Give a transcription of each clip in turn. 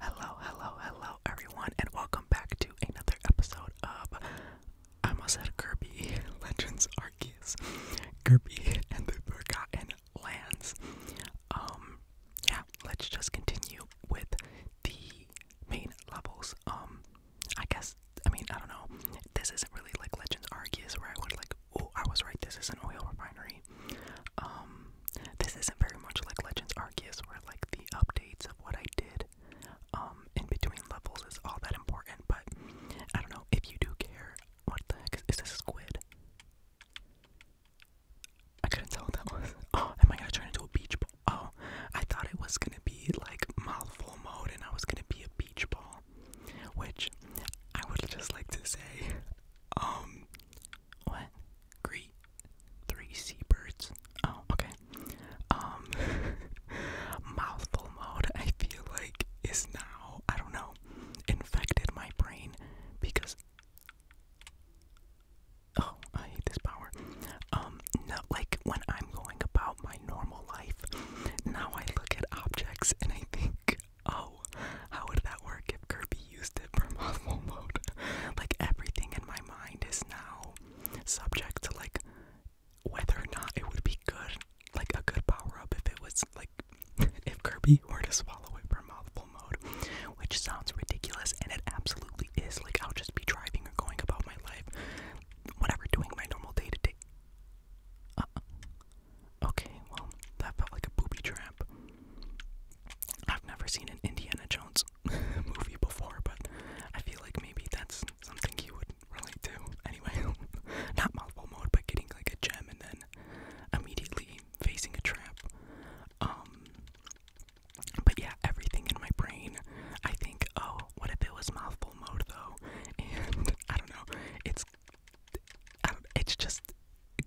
Hello, hello, hello, everyone, and welcome back to another episode of I almost said Kirby Legends Arceus, Kirby and the Forgotten Lands. Um, yeah, let's just continue with the main levels. Um, I guess I mean I don't know. This isn't really like Legends Arceus where I would like. Oh, I was right. This is an oil refinery. Um, this isn't very much like Legends Arceus, or like the updates of what I did um, in between levels is all that important, but I don't know if you do care. What the heck? Is, this a squid? I couldn't tell what that was. Oh, am I gonna turn into a beach ball? Oh, I thought it was gonna be like mouthful mode and I was gonna be a beach ball. Which I would just like to say, um, what? Greet. Three seabirds. Oh, okay. Um, mouthful mode, I feel like, is now, I don't know, infected my brain because. Oh, I hate this power. Um, like when I'm going about my normal life, now I look at objects and I think, oh, how would that work if Kirby used it for mouthful mode. like everything in my mind is now subject to like whether or not it would be good, like a good power up if it was like if Kirby were to swallow it for mouthful mode, which sounds ridiculous and it absolutely is. Like I'll just be driving or going about my life, whatever, doing my normal day to day. okay, well, that felt like a booby trap. I've never seen an Indiana Jones movie before, but I feel like maybe that's something you would relate to. Anyway, not mouthful mode, but getting like a gem and then immediately facing a trap. Um, but yeah, everything in my brain, I think, oh, what if it was mouthful mode though? And I don't know, it's, I don't, it's just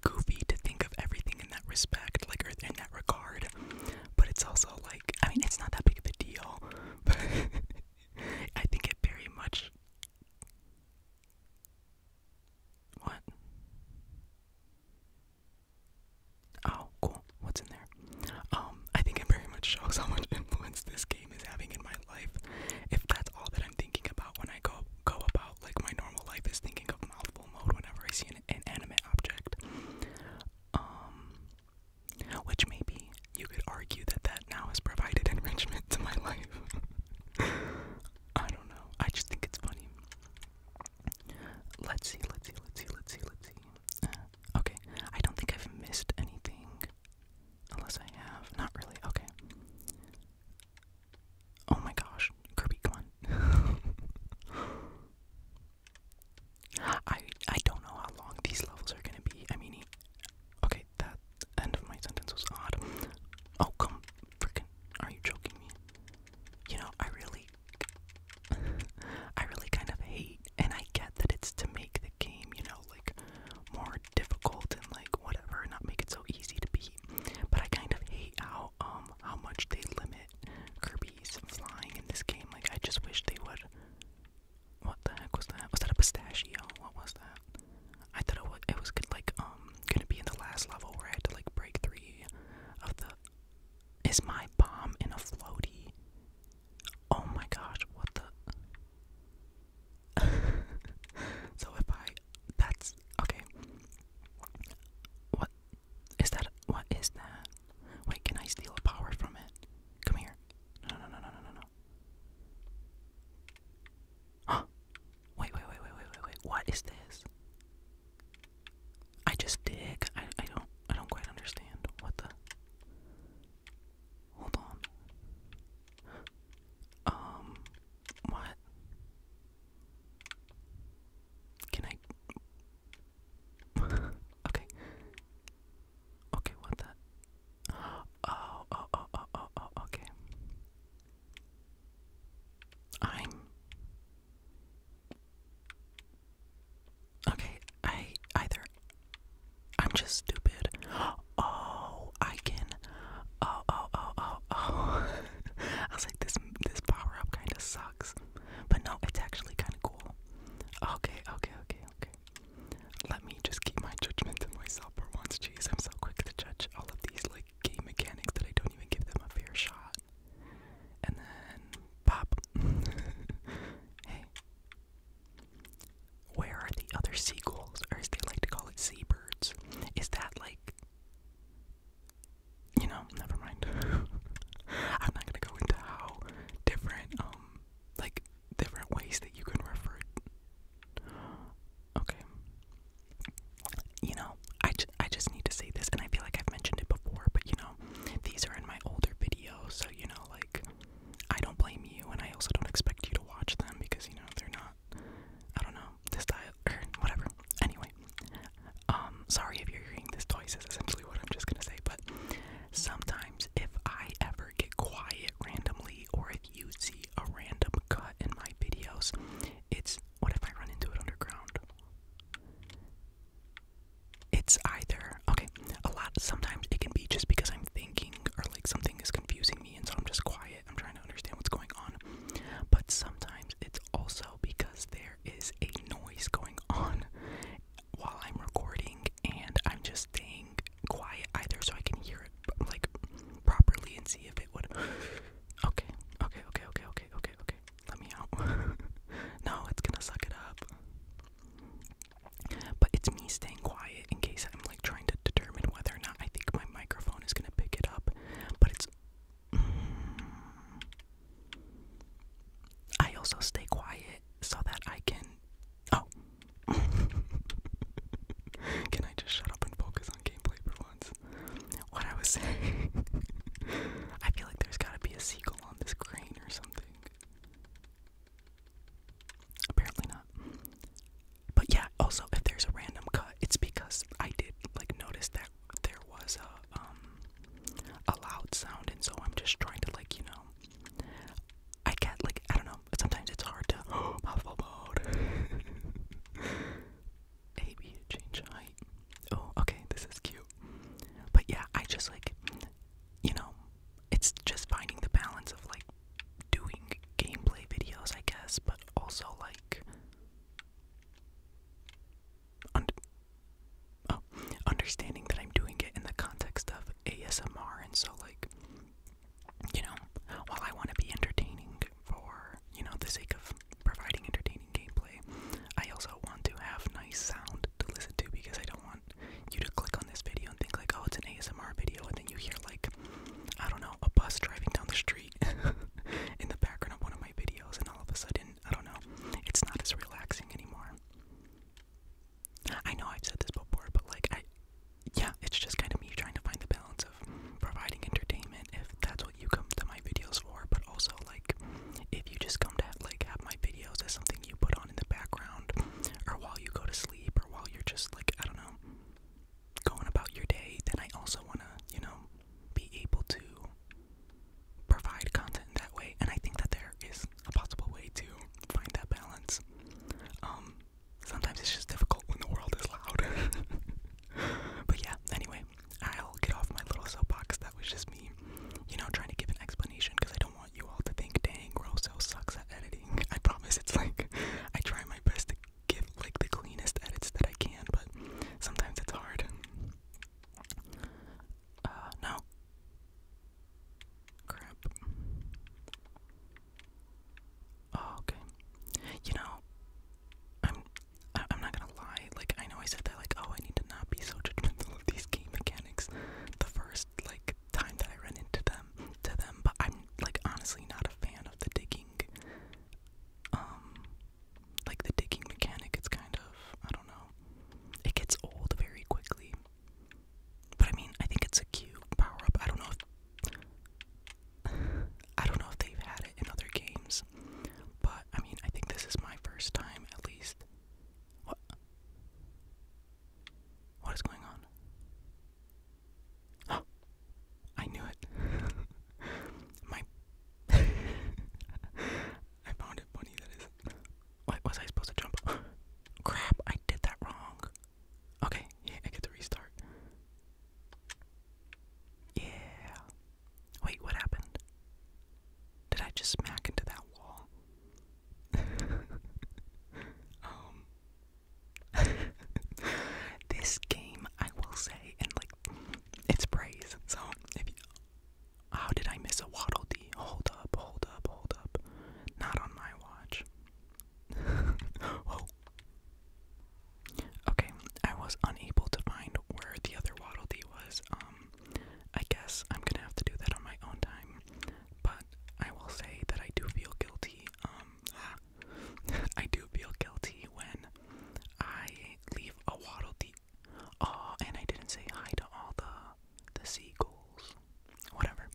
goofy to think of everything in that respect, like or in that regard, but it's also like I mean it's not that big of a deal, but I think it very much. What? Oh, cool. What's in there? Um, I think it very much shows how much influence this game is having in my life. If that's all that I'm thinking about when I go go about like my normal life is thinking of mouthful mode whenever I see an an animate object. Um, which maybe you could argue that that now has provided enrichment to my life. I don't know. I just think it's funny. Let's see, let's see, let's see, let's see, let's see. Uh, okay, I don't think I've missed anything. Unless I have. Not really. Okay. Oh my gosh. Kirby, come on. I I don't know how long these levels are gonna be. I mean, okay, that end of my sentence was odd. Oh come, freaking! Are you joking me? You know, I really, I really kind of hate, and I get that it's to make the game, you know, like more difficult and like whatever, not make it so easy to beat. But I kind of hate how um how much they limit Kirby flying in this game. Like, I just wish they would. What the heck was that? Was that a pistachio? What was that? I thought it was, it was good, like, um, gonna be in the last level where I had to, like, break three of the. Is my bomb in a floaty? Oh my gosh, what the. so if I. That's. Okay. What? Is that what is that? Wait, can I steal power from it? Come here. No, no, no, no, no, no, Wait, wait, wait, wait, wait, wait, wait. What is this? I just dig. I I don't I don't quite understand. What the Hold on. Um what? Can I okay. Okay, what that? Oh, oh, oh, oh, oh, oh, okay. I'm. Okay, I either. I'm just stupid. Oh, I can. Oh, oh, oh, oh, oh. I was like, this this power up kind of sucks. But no, it's actually kind of cool. Okay, okay, okay, okay. Let me just keep my judgment to myself for once. Jeez, I'm so quick to judge all of these like game mechanics that I don't even give them a fair shot. And then pop. hey. Where are the other seagulls? Or as they like to call it, seabirds? Is that like you know, never mind. I'm not gonna go into how different, um, like different ways that you can refer. Okay. You know, I, ju I just need to say this, and I feel like I've mentioned it before, but you know, these are in my older videos, so you know, like, I don't blame you, and I also don't expect you to watch them because you know, they're not, I don't know, this style, or whatever. Anyway, um, sorry if you're hearing this twice is essentially what I'm just gonna say, but sometimes if I ever get quiet randomly or if you see a random cut in my videos, it's what if I run into it underground? It's either okay, a lot sometimes it can be just because I'm thinking or like something is confusing me and so I'm just quiet. I'm trying to understand what's going on. But sometimes it's also because there there is a noise going on while I'm recording, and I'm just staying quiet either so I can hear it like properly and see if it would. Okay, okay, okay, okay, okay, okay, okay. Let me out. no, it's gonna suck it up. But it's me staying quiet in case I'm like trying to determine whether or not I think my microphone is gonna pick it up. But it's. I also stay quiet so that I can. Oh. can I just shut up and focus on gameplay for once? What I was saying. I feel like there's gotta be a seagull on this crane or something. Apparently not. But yeah, also, if there's a random cut, it's because I did, like, notice that there was a um a loud sound and so I'm just trying to like, you know I get like I don't know, sometimes it's hard to Maybe change height. Oh, okay, this is cute. But yeah, I just like you know, it's just finding the balance of like doing gameplay videos, I guess, but also like Oh, understanding that I'm doing it in the context of ASMR, and so like, you know, while I want to be entertaining for you know the sake of providing entertaining gameplay, I also want to have nice sound to listen to because I don't want you to click on this video and think like, oh, it's an ASMR video, and then you hear like, I don't know, a bus driving down the street in the background of one of my videos, and all of a sudden, I don't know, it's not as relaxing anymore. I know I've said this before, but like I yeah, it's just kind of me trying to find the balance of providing entertainment if that's what you come to my videos for, but also like if you just come to have, like have my videos as something you put on in the background or while you go to sleep or while you're just like I don't know going about your day, then I also want to, you know, be able to provide content that way, and I think that there is a possible way to find that balance. Um, sometimes it's just difficult when the world is loud. but yeah, anyway, I'll get off my little soapbox. That was just me, you know, trying to give an explanation because I don't want you all to think, dang, Rosso sucks at editing. I promise it's like I try my best to give like the cleanest edits that I can, but sometimes it's hard. Uh, no, Crap. Oh, okay. You know, I'm I am i am not gonna lie, like I know I said that like oh I need to not be so judgmental of these game mechanics the first like time that I ran into them to them, but I'm like honestly not a fan of the digging um like the digging mechanic, it's kind of I don't know. It gets old very quickly. But I mean, I think it's a cute power up. I don't know if I don't know if they've had it in other games, but I mean, I think this is my first time at least. What is going on? I knew it. my I found it funny that is what was I supposed to jump? Crap, I did that wrong. Okay, yeah, I get to restart. Yeah. Wait, what happened? Did I just smack into that wall? um. this game, I will say, and like, it's praise. So, if you, how did I miss a Waddle Dee? Hold up, hold up, hold up. Not on my watch. Oh. Okay, I was unable to find where the other Waddle Dee was. Um, I guess I'm gonna have to do that on my own time. But I will say that I do feel guilty. Um, I do feel guilty when I leave a Waddle Dee Ah, and I didn't say hi to all the the seagulls. Whatever.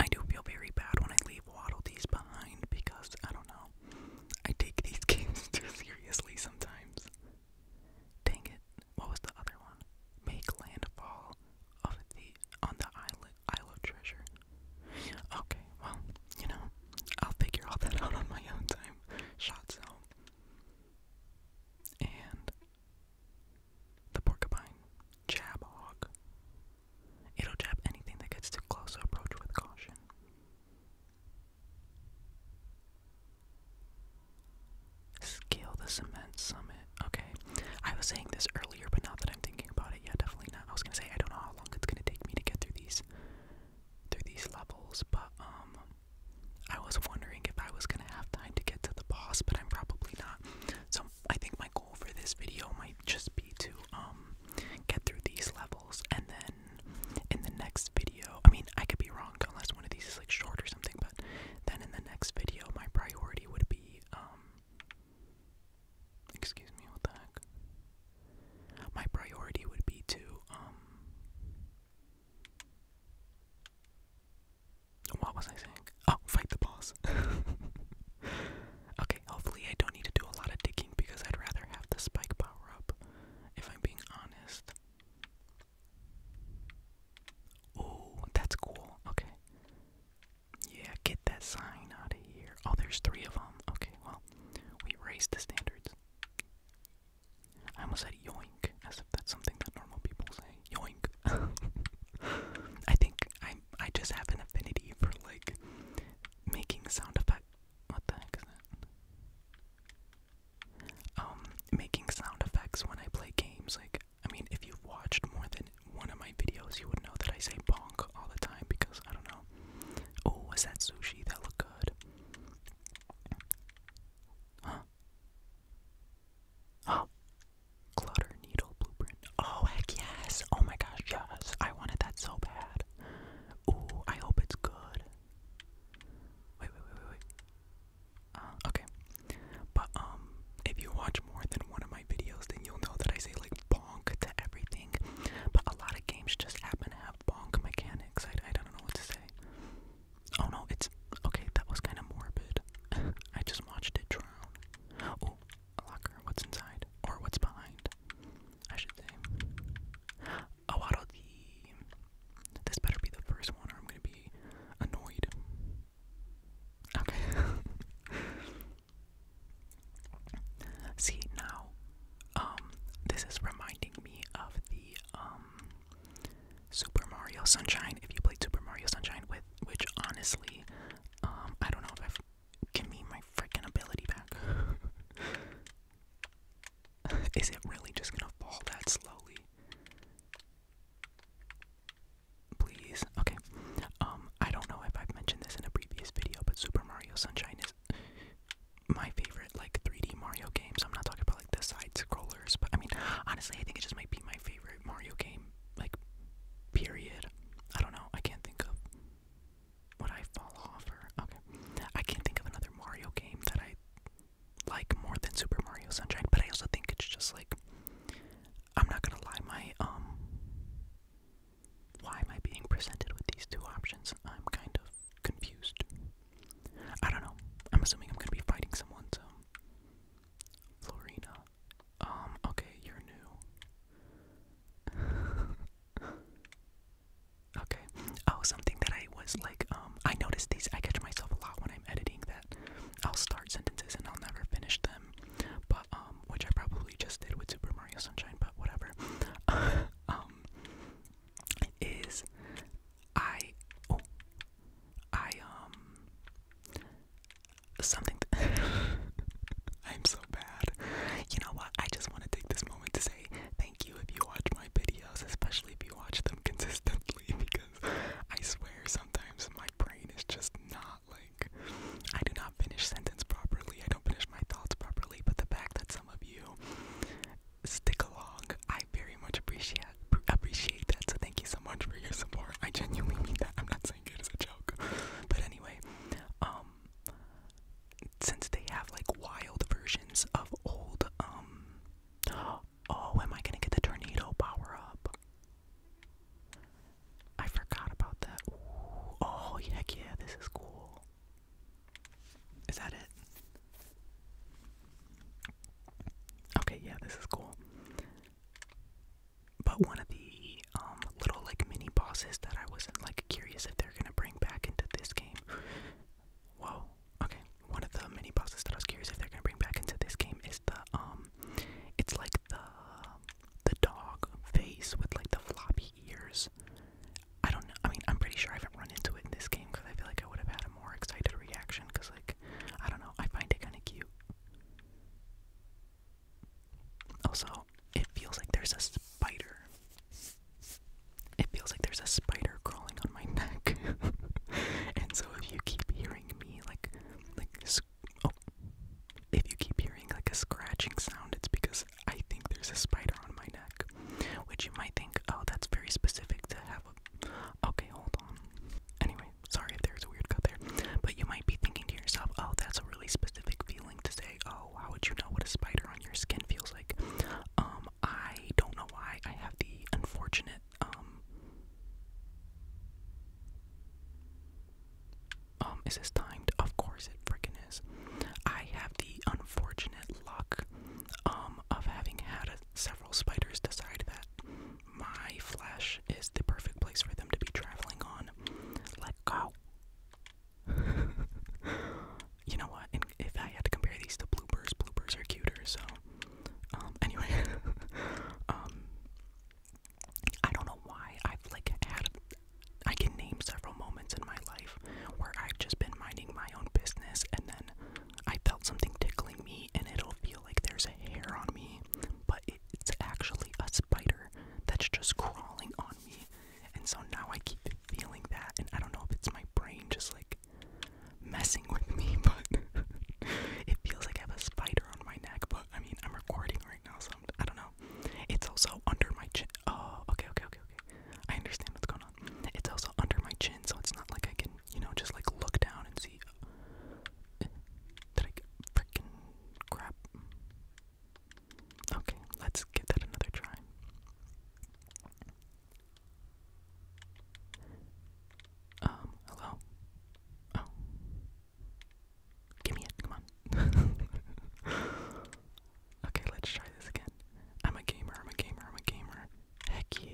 I do feel very bad when I leave Waddle behind because I don't know. I take these games too seriously sometimes. Dang it. What was the other one? Make landfall of the on the island Isle of Treasure. Okay, well, you know, I'll figure all that out on my own time. Shot zone. And the porcupine, jab hawk. It'll jab anything that gets too close, approach with caution. Scale the cement summit. Okay, I was saying this earlier, but now that I'm thinking about it, yeah, definitely not. I was gonna say I don't know how long it's gonna take me to get through these, through these levels, but um, I was wondering if I was gonna have time to get to the boss, but I'm probably not. So I think my goal for this video might just be to um, get through these levels and then in the next video I mean I could be wrong unless one of these is like short or something, but then in the next video my priority would be um, excuse me, what the heck? My priority would be to um, what was I saying? Oh, fight the boss. okay, hopefully I don't need to do a lot of digging because I'd rather have the spike power up, if I'm being honest. Oh, that's cool. Okay. Yeah, get that sign out of here. Oh, there's three of them. Okay, well, we raised the standards. I almost said yoink, as if that's something that normal people say. Yoink. I think I I just have an affinity for like making sound effect. What the heck is that? Um, making sound effects when I play games. Like, I mean, if you've watched more than one of my videos, you would know that I say bonk all the time because I don't know. Oh, was that sushi? That looked good. Huh? Oh, clutter needle blueprint. Oh heck yes! Oh my gosh, yes! I wanted that so bad. Ooh, I hope it's good. Wait, wait, wait, wait, wait. Uh, okay, but um, if you watch more than one of my videos, then you'll know that I say like bonk to everything. But a lot of games just happen to have bonk mechanics. I, I don't know what to say. Oh no, it's okay. That was kind of morbid. I just watched it drown. Oh, locker. What's inside or what's behind? I should say. Oh, out of the. This better be the first one, or I'm gonna be annoyed. Okay. See now, um, this is reminding me of the um Super Mario Sunshine. If you play Super Mario Sunshine with, which honestly, um, I don't know if I've give my freaking ability back. Is it really just gonna fall that slowly? Please. Okay. Um, I don't know if I've mentioned this in a previous video, but Super Mario Sunshine is my favorite like 3D Mario games. I'm not talking about like the side scroller but I mean, honestly, I think it just might be my favorite Mario game, like, period. I don't know, I can't think of what I fall off or. Okay. I can't think of another Mario game that I like more than Super Mario Sunshine, but I also think it's just like. I'm not gonna lie, my, um. Why am I being presented with these two options? I'm kind of confused. I don't know. I'm assuming I'm gonna be fighting someone, so Florina. Um, okay, you're new. okay. Oh, something that I was like, um, I noticed these, I catch myself a lot when I'm editing that I'll start sentences and I'll never finish them, but, um, which I probably just did with Super Mario Sunshine, but whatever. um, is I, oh, I, um, something. I'm so bad. You know what? I just want to take this moment to say thank you if you watch my videos, especially if you watch them consistently, because I swear sometimes my brain is just not like. I do not finish sentence properly, I don't finish my thoughts properly, but the fact that some of you stick along, I very much appreciate appreciate that. So thank you so much for your support. I genuinely mean that. I'm not saying it as a joke. But anyway, um since they have like wild versions of old um oh, am I gonna get the tornado power up? I forgot about that. oh heck yeah, this is cool. Is that it? Okay, yeah, this is cool. But one of the um, little like mini bosses that I wasn't like curious if they're gonna bring back into this game. Whoa. Okay. One of the mini bosses that I was curious if they're gonna bring back into this game is the um, it's like the the dog face with like the floppy ears. I don't know. I mean, I'm pretty sure I haven't run into it in this game because I feel like I would have had a more excited reaction because like I don't know. I find it kind of cute. Also, it feels like there's a spider. It feels like there's a spider crawling on my neck. and so if you keep hearing me like like oh, if you keep hearing like a scratching sound, it's because I think there's a spider on my neck. Which you might think, "Oh, that's very specific to have a Okay, hold on. Anyway, sorry if there's a weird cut there. But you might be thinking to yourself, oh, that's a really specific feeling to say, oh, how would you know what a spider on your skin feels like? Um, I don't know why I have the unfortunate, um, um, is this timed? Of course it freaking is. I have the unfortunate luck, um, of having had several spiders decide that my flesh is the perfect place for them to be traveling on. Let go. you know what? if I had to compare these to bloopers, bloopers are cuter. So, um, anyway, um, I don't know why I've like had. I can name several moments in my life where I've just been minding my own business, and then I felt something tickling me, and it'll feel like there's a hair on me, but it's actually a spider that's just crawling on me. And so now I keep feeling that, and I don't know if it's my brain just like messing with me, but it feels like I have a spider on my neck. But I mean, I'm recording right now, so I'm, I do not know. It's also under my chin. Oh, okay, okay, okay, okay. I understand what's going on. It's also under my chin, so it's not like I can, you know, just like look down and see freaking crap? Okay, let's give that another try. Um, hello? Oh. Give me it, okay, let's try this again. I'm a gamer, I'm a gamer, I'm a gamer. Heck yeah.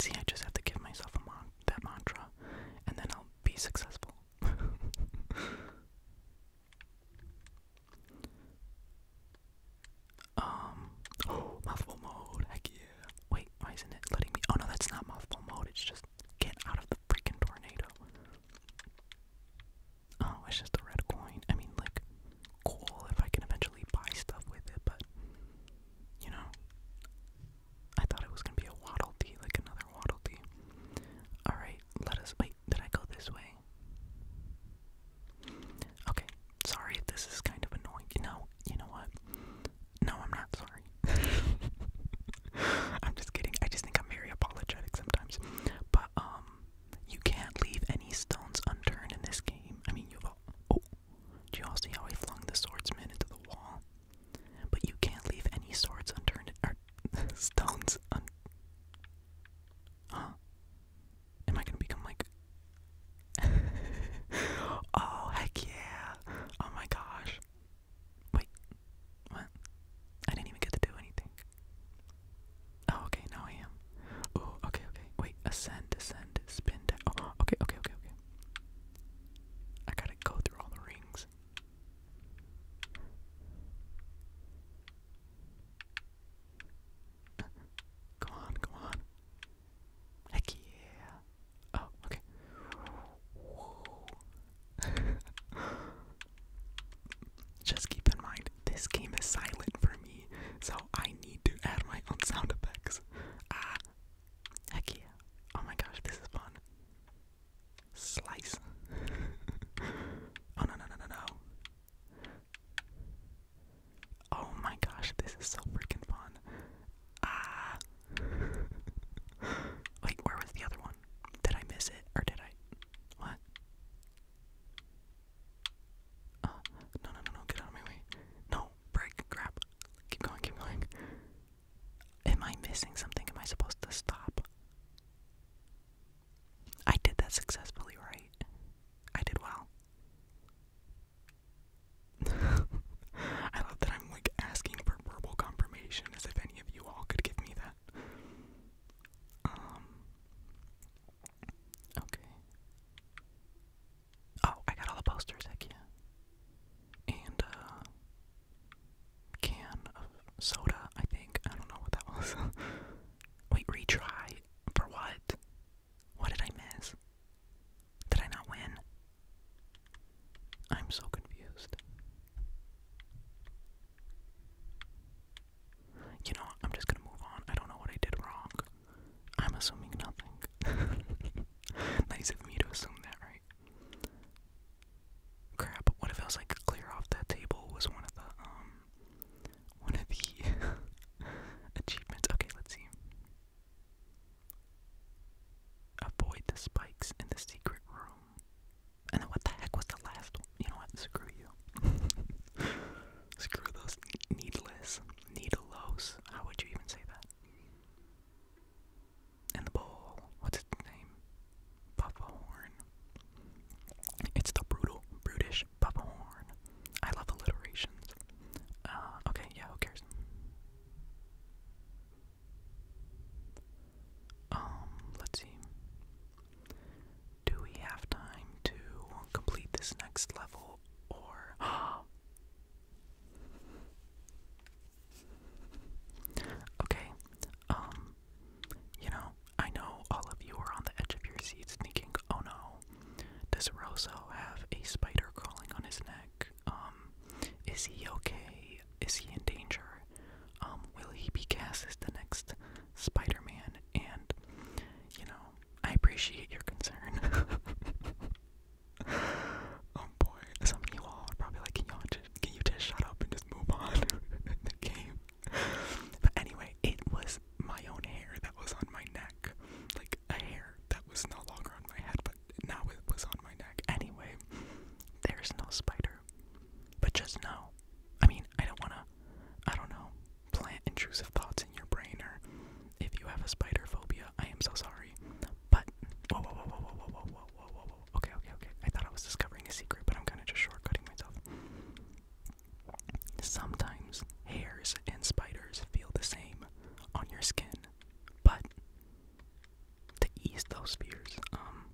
See, I just have to give myself a mod that mantra, and then I'll be successful. um, mouthful mode, heck yeah. Wait, why isn't it letting me? Oh no, that's not mouthful mode, it's just get out of the freaking tornado. Oh, it's just a red coin. I mean, like, cool if I can eventually buy stuff with it, but, you know, I thought it was gonna be a waddle dee, like another waddle dee. Alright, let us wait, did I go this way? Okay, sorry, this is kind of annoying. No, you know what? No, I'm not sorry. I'm just kidding. I just think I'm very apologetic sometimes. But um you can't leave any stones unturned in this game. I mean you all oh do you all see how I flung the swordsman into the wall? But you can't leave any swords unturned or stones un Huh? Am I gonna become like Oh heck yeah. Oh my gosh. Wait. What? I didn't even get to do anything. Oh okay, now I am. Oh, okay, okay. Wait, ascend, descend, spin Oh, okay, okay, okay, okay. I gotta go through all the rings. Come on, come on. Heck yeah. Oh, okay. Just keep in mind, this game is silent for me, so I need to add my own sound effects. Ah, heck yeah. Oh my gosh, this is fun. Slice. oh no no no no no. Oh my gosh, this is so freaking fun. Ah. Wait, where was the other one? Did I miss it or did I? What? Uh, no no no no, get out of my way. No, break, grab. Keep going, keep going. Am I missing something? Am I supposed to stop? I did that successfully, right? I did well. I love that I'm like asking for verbal confirmation as if any of you all could give me that. Um Okay. Oh, I got all the posters, heck and a uh, can of soda, I think. I don't know what that was. Wait, retry? For what? What did I miss? Did I not win? I'm so confused. You know, I'm just gonna move on. I don't know what I did wrong. I'm assuming nothing. nice of me to assume that, right? Crap, what if I like clear off that table was one of the um one of the achievements. Okay, let's see. Avoid the spikes in the secret room. And then what the heck was the last You know what? Screw you. Screw those needless needlelos. How would you even say that? and the bull. What's its name? Buffahorn. It's the brutal, brutish buffahorn. I love alliterations. okay, yeah, who cares? Um, let's see. Do we have time to complete this next level or Okay, um, you know, I know all of you are on the edge of your seats thinking, oh no, does Roso have a spider crawling on his neck? Um, is he okay? Is he in danger? Um, will he be cast as the next Spider Man? And, you know, I appreciate your concern. Oh boy, some of you are probably like, can y'all just, can you just shut up and just move on the game? But anyway, it was my own hair that was on my neck, like a hair that was no longer on my head, but now it was on my neck. Anyway, there's no spider, but just know. I mean, I don't wanna, I don't know, plant intrusive thoughts in your brain, or if you have a spider phobia, I am so sorry. But whoa, whoa, whoa, whoa, whoa, whoa, whoa, whoa, whoa, Okay, okay, okay. I thought I was discovering a secret, but I'm kind of just shortcutting myself. Sometimes hairs and spiders feel the same on your skin, but to ease those fears, um,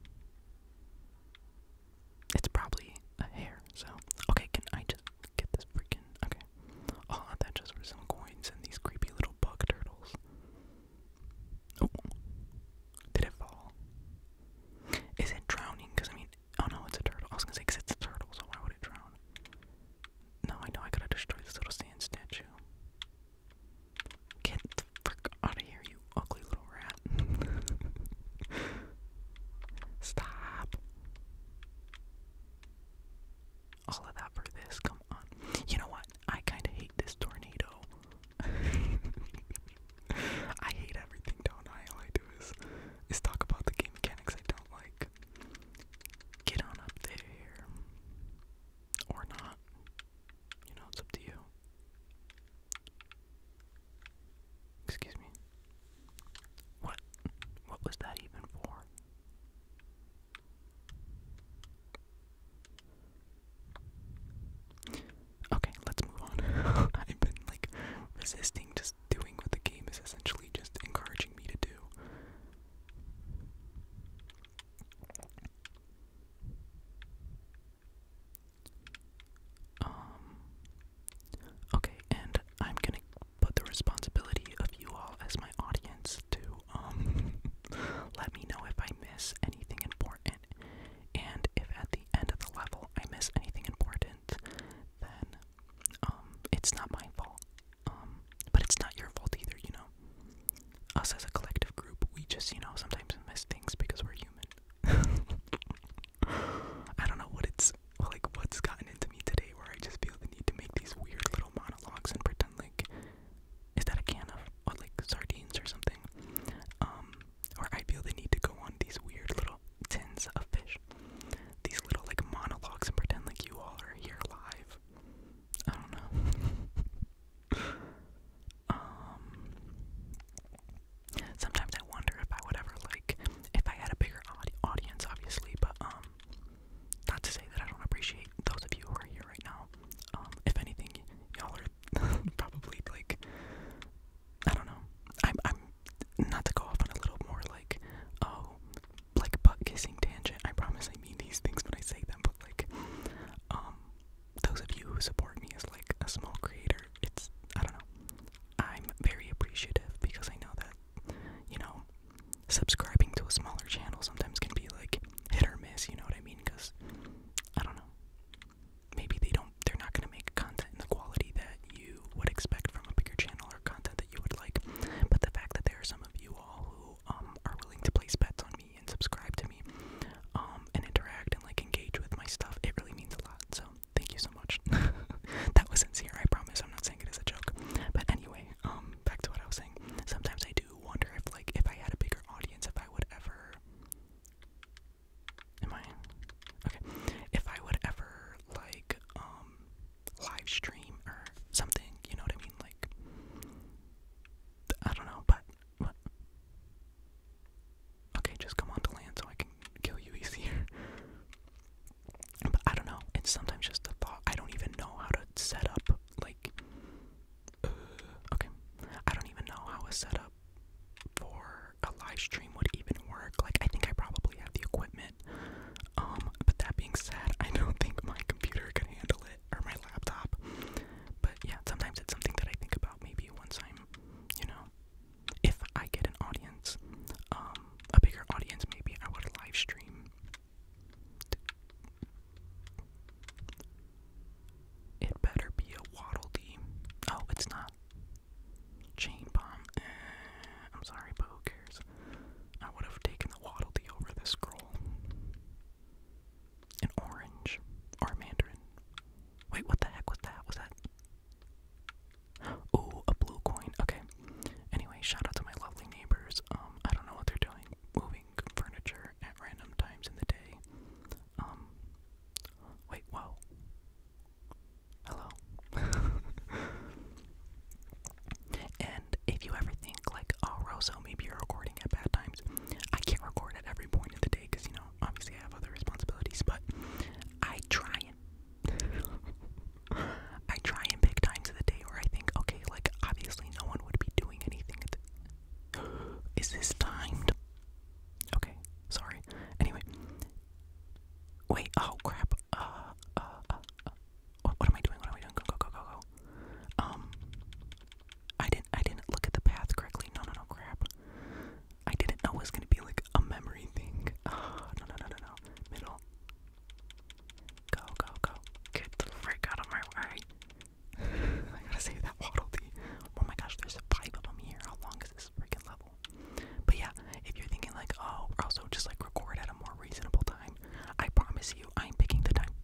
it's probably a hair. So, okay, can I just get this freaking? Okay. Oh, that just were some coins and these creepy little bug turtles. Oh, did it fall? Is it drowning? Because I mean, oh no, it's a turtle. I was gonna say, because it's a turtle, so why would it drown? No, I know I gotta destroy this little sand statue. Get the frick out of here, you ugly little rat. Stop. All of that for this, come on. You know what? I kind of hate this tornado. I hate everything, don't All I do is, is talk about the game mechanics I don't like. Get on up there. Or not. You know, it's up to you. Excuse me. What? What was that even for? Okay, let's move on. I've been like resisting just doing what the game is essentially just encouraging me to do. Um Okay, and I'm gonna put the responsibility of you all as my audience to um let me know if I miss anything important and if at the end of the level I miss anything important, then um, it's not my fault. Um, but it's not your fault either, you know. Us as a collective group, we just, you know, sometimes miss things because we're human. I don't know what it's like what's gotten into me today where I just feel the need to make these weird little monologues and pretend like is that a can of like sardines or something? Um or I feel they need to go on these weird little tins of fish, these little like monologues and pretend like you all are here live. I don't know. um, sometimes I wonder if I would ever like if I had a bigger audi audience, obviously, but um, not to say that I don't appreciate those of you who are here right now. Um, if anything, y'all probably like I don't know. I'm I'm not to go off on a little more like oh like butt kissing tangent. I promise I mean these things when I say them, but like um those of you who support me as like a small creator, it's I don't know. I'm very appreciative because I know that you know subscribing to a smaller channel sometimes can be like hit or miss, you know what I mean? Cuz I don't know maybe they don't they're not going to make content in the quality that you would expect from a bigger channel or content that you would like but the fact that there are some of you all who um, are willing to place bets on me and subscribe to me um, and interact and like engage with my stuff it really means a lot so thank you so much that was sincere i promise i'm not saying it as a joke but anyway um back to what i was saying sometimes i do wonder if like if i had a bigger audience if i would ever Am I? Okay. If I would ever like um live stream or something, you know what I mean? Like I don't know, but Okay, just come on land so I can kill you easier. But I don't know. It's sometimes just a thought. I don't even know how to set up like. Uh, okay, I don't even know how a setup for a live stream would even work. Like, I think I probably have the equipment. Um, but that being said, I don't think my computer can handle it or my laptop. But yeah, sometimes it's something that I think about maybe once I'm, you know, if I get an audience, um, a bigger audience, maybe I would live stream. It better be a Waddle Dee. Oh, it's not. Chain Bomb. Eh, I'm sorry, but who cares? I would have taken the Waddle over this scroll. An orange. Or mandarin. Wait, what the heck was that? Was that. Oh, a blue coin. Okay. Anyway, shout out to my lovely neighbors. Um, I don't know what they're doing. Moving furniture at random times in the day. Um, wait, whoa. Hello. and if you ever think, like, oh, Rosso, maybe you're recording at bad times, I can't record at every point of the day because, you know, obviously I have other responsibilities, but I try and. I try and pick times of the day where I think, okay, like, obviously no one would be doing anything. At the... Is this timed? Okay, sorry. Anyway. Wait, oh crap. Uh, uh, uh, uh. What, am I doing? What am I doing? Go, go, go, go, go. Um, I didn't, I didn't look at the path correctly. No, no, no, crap. I didn't know it was gonna be like a memory thing. Oh, no, no, no, no, no. Middle. Go, go, go. Get the frick out of my way. I gotta save that waddle Oh my gosh, there's five of them here. How long this freaking level. But yeah, if you're thinking like, oh, also just like record at a more reasonable time, I promise you, I'm picking the time.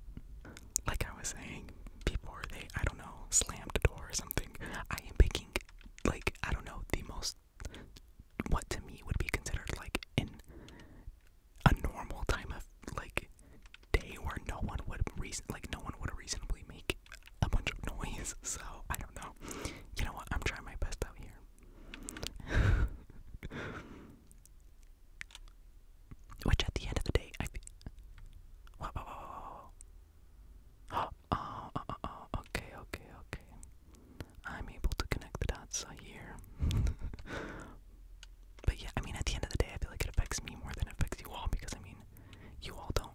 Like I was saying before, they I don't know slammed a door or something. I am picking like I don't know the most what to me would be considered like in a normal time of like day where no one would reason like no one would reasonably make a bunch of noise, so I don't know. You know what? I'm trying my best out here. Which at the end of the day, I. Whoa, Oh, oh, oh, oh, okay, okay, okay. I'm able to connect the dots here. but yeah, I mean, at the end of the day, I feel like it affects me more than it affects you all because I mean, you all don't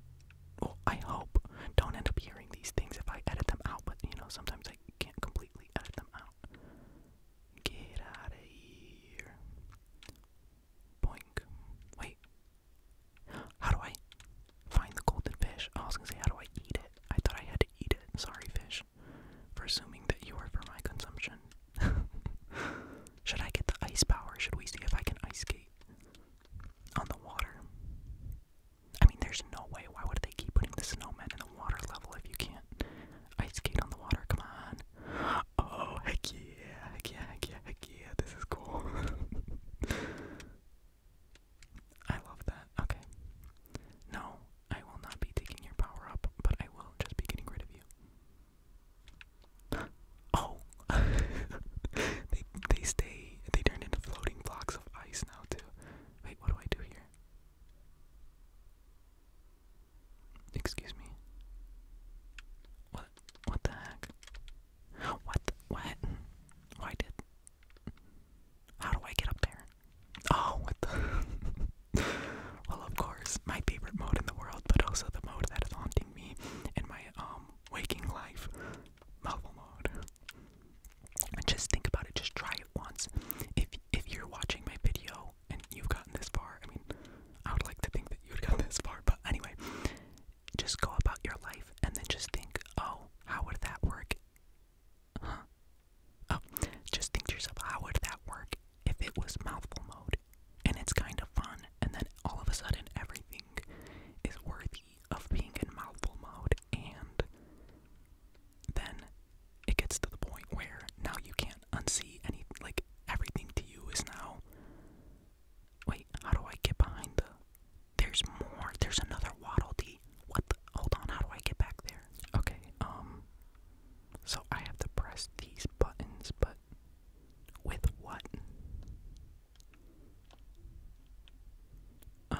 well, I hope don't end up hearing these things if I edit them out, but you know, sometimes I can't completely edit them out. Get out of here. Boink. Wait. How do I find the golden fish? I was gonna say, how do I eat it? I thought I had to eat it. Sorry, fish, for assuming that you are for my consumption. Should I get the ice power? Should we see if I can ice skate? on the water. I mean, there's no way. Why would they keep putting the snowmen in the water level if you can't ice skate on the water? Come on. Oh, heck yeah. Heck yeah, heck yeah, heck yeah. This is cool. I love that. Okay. No, I will not be taking your power up, but I will just be getting rid of you. Oh, they they stay. They turn into floating blocks of ice now too. Wait, what do I do here? Excuse me. What? What the heck? What? What? Why did? How do I get up there? Oh, what the? well, of course, my favorite mode in the world, but also the mode that is haunting me in my um waking life mobile mode. Just think about it. Just try it once. If if you're watching my video and you've gotten this far, I mean, I would like to think that you have gotten this far. But anyway, just go about your life and then just think, oh, how would that work? Oh, just think to yourself, how would that work if it was mouthful mode? And it's kind of fun, and then all of a sudden everything is worth of being in mouthful mode, and then it gets to the point where now you can't unsee any like everything to you is now. Wait, how do I get behind the? There's more. There's another waddle dee. What? The, hold on. How do I get back there? Okay. Um. So I have to press these buttons, but with what? Um,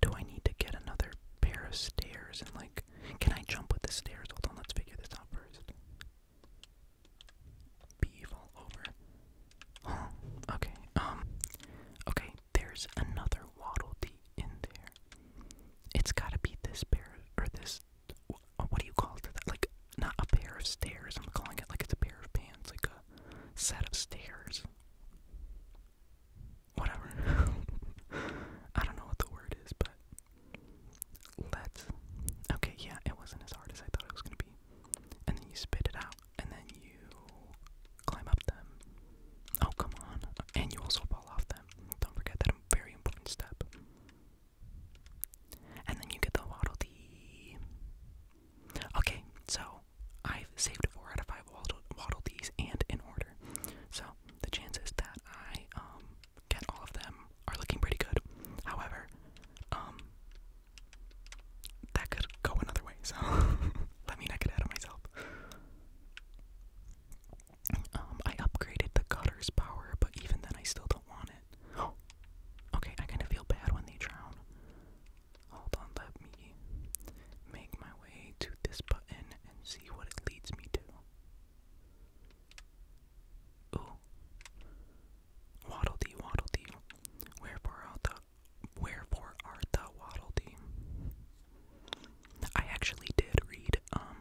do I need to get another pair of stairs and like can I jump with the stairs? Hold on, let's figure this out first. Beef all over. okay. Um okay, there's another waddle dee in there. It's gotta be this pair or this what do you call it? Like not a pair of stairs. I'm calling it like it's a pair of pants, like a set of stairs. Whatever. I don't know what the word is, but let's. Okay, yeah, it wasn't as hard as I thought it was gonna be. And then you spit it out, and then you climb up them. Oh, come on. And you also fall off them. Don't forget that very important step. And then you get the Waddle Dee. Okay, so I've saved four out of five Waddle, waddle Dees and in order. So the chances that I um, get all of them are looking pretty good. However, um, that could go another way, so let me not get ahead of myself. Um, I upgraded the cutter's power, but even then I still don't want it. okay, I kind of feel bad when they drown. Hold on, let me make my way to this button and see what it leads me to. Ooh. Waddle dee, waddle dee. Wherefore art thou, wherefore art thou waddle dee? I actually did read, um,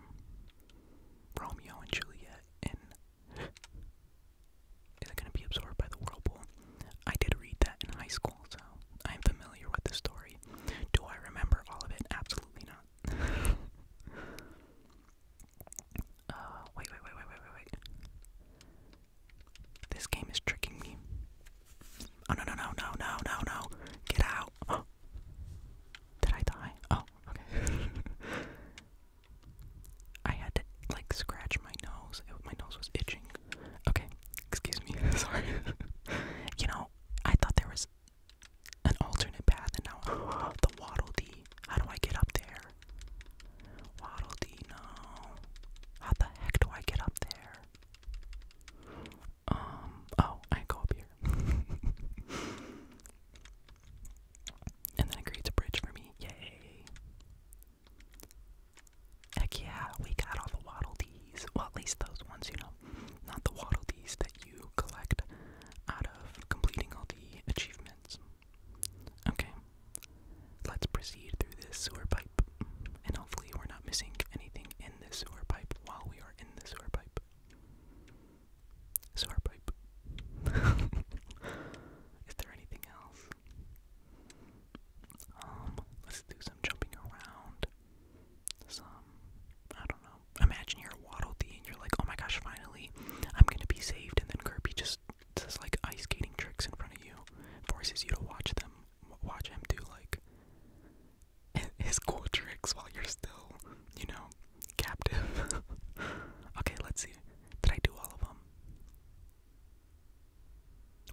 Romeo and Juliet in is it going to be absorbed by the whirlpool? I did read that in high school, so I am familiar with the story. Do I remember all of it? Absolutely not. uh, wait, wait, wait, wait, wait, wait, wait. This game is tricking me. Oh, no, no, no, no, no, no, no. Get out. Did I die? Oh, okay. I had to like scratch my nose. my nose was itching. Okay, excuse me. Sorry. you know, I thought there was an alternate path, and now the waddle dee. How do I get up there? Waddle dee, no. How the heck do I get up there? Um. Oh, I go up here. And then it creates a bridge for me. Yay. Heck yeah, we got all the waddle Well, at least those ones, you know. Not the waddle that you collect out of completing all the achievements. Okay. Let's proceed through this sewer pipe. And hopefully, we're not missing anything in this sewer pipe while we are in the sewer pipe. Sewer pipe. Is there anything else? Um, let's do some jumping around. Some, I don't know. Imagine you're Waddle Dee and you're like, oh my gosh, finally, I'm gonna be saved. And then Kirby just does like ice skating tricks in front of you, forces you to watch them, watch him do like his cool tricks while you're still, you know, captive. okay, let's see. Did I do all of them?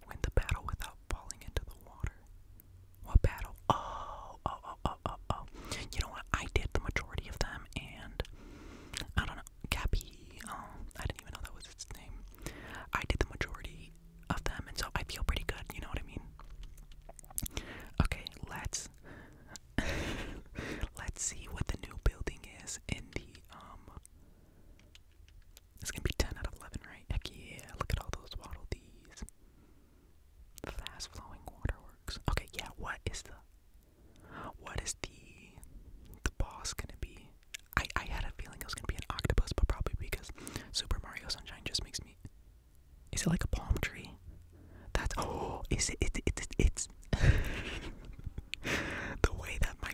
Win the battle without falling into the water. What battle? Oh, oh, oh, oh, oh, You know what? I did the majority of them, and I don't know. Cappy. Um, I didn't even know that was its name. I did the majority of them, and so I feel pretty good. You know what I mean? Okay, let's let's see what the new building is in the um it's gonna be 10 out of 11, right? Heck yeah, look at all those waddle Fast flowing waterworks. Okay, yeah, what is the what is the the boss gonna be? I I had a feeling it was gonna be an octopus, but probably because Super Mario Sunshine just makes me Is it like a palm tree? That's oh is it it's it's it's the way that my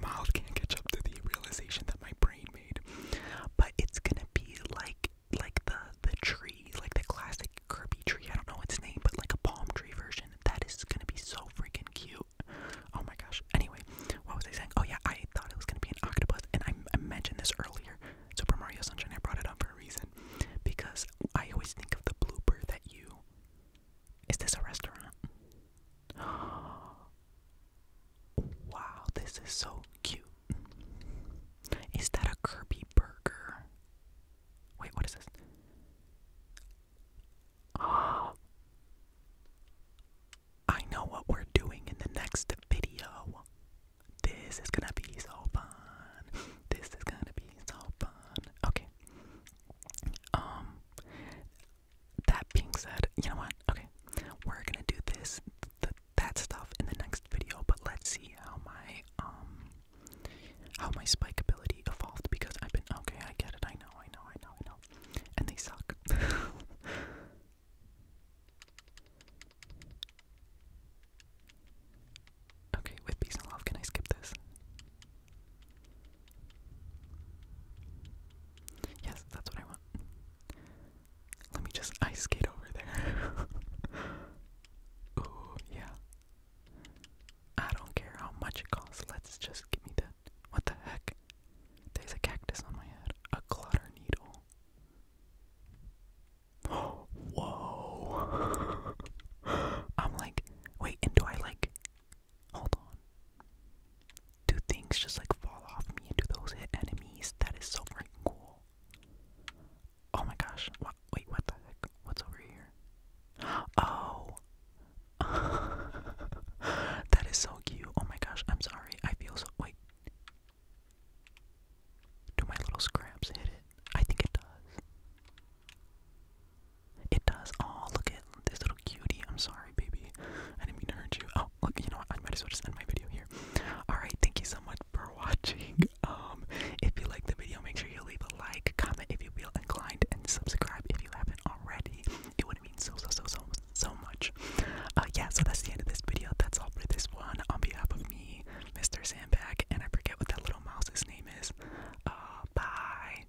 mouth can't catch up to the realization that my brain made. But it's gonna be like like the the tree, like the classic Kirby tree. I don't know its name, but like a palm tree version. That is gonna be so freaking cute. Oh my gosh. Anyway, what was I saying? Oh yeah, I thought it was gonna be an octopus, and I, I mentioned this earlier. Super Mario Sunshine. I brought it up for a reason because I always think of the blooper that you is this a restaurant? Wow, this is so cute. Is that a Kirby burger? Wait, what is this? Oh, I know what we're doing in the next video. This is gonna be so fun. This is gonna be so fun. Okay. Um. That being said, you know what? Okay, we're gonna do this, that stuff in the next video. But let's see how my um, how my spike ability evolved because I've been okay. I get it. I know. I know. I know. I know. And they suck. okay, with peace and love. Can I skip this? Yes, that's what I want. Let me just ice skate over there. Ooh, yeah. I don't care how much it costs. Let's just give me that. What the heck? There's a cactus on my head. A clutter needle. whoa. I'm like, wait, and do I like Hold on. Do things just like fall off me do those hit enemies? That is so freaking cool. Oh my gosh. Wait, what the heck? What's over here? Oh. that is so cute. Oh my gosh. I'm sorry. I feel so. Wait. Do my little scraps hit it? I think it does. It does. Oh, look at this little cutie. I'm sorry, baby. I didn't mean to hurt you. Oh, look, you know what? I might as well just end my video here. Alright, thank you so much for watching. Um, if you like the video, make sure you leave a like, comment if you feel inclined, and subscribe if you haven't already. It would mean so, so, so, so, so much. Uh, yeah, so that's the end of this video. That's all for this one. On behalf of me, Mr. Sandbag, and I forget what that little mouse's name is. Uh, bye.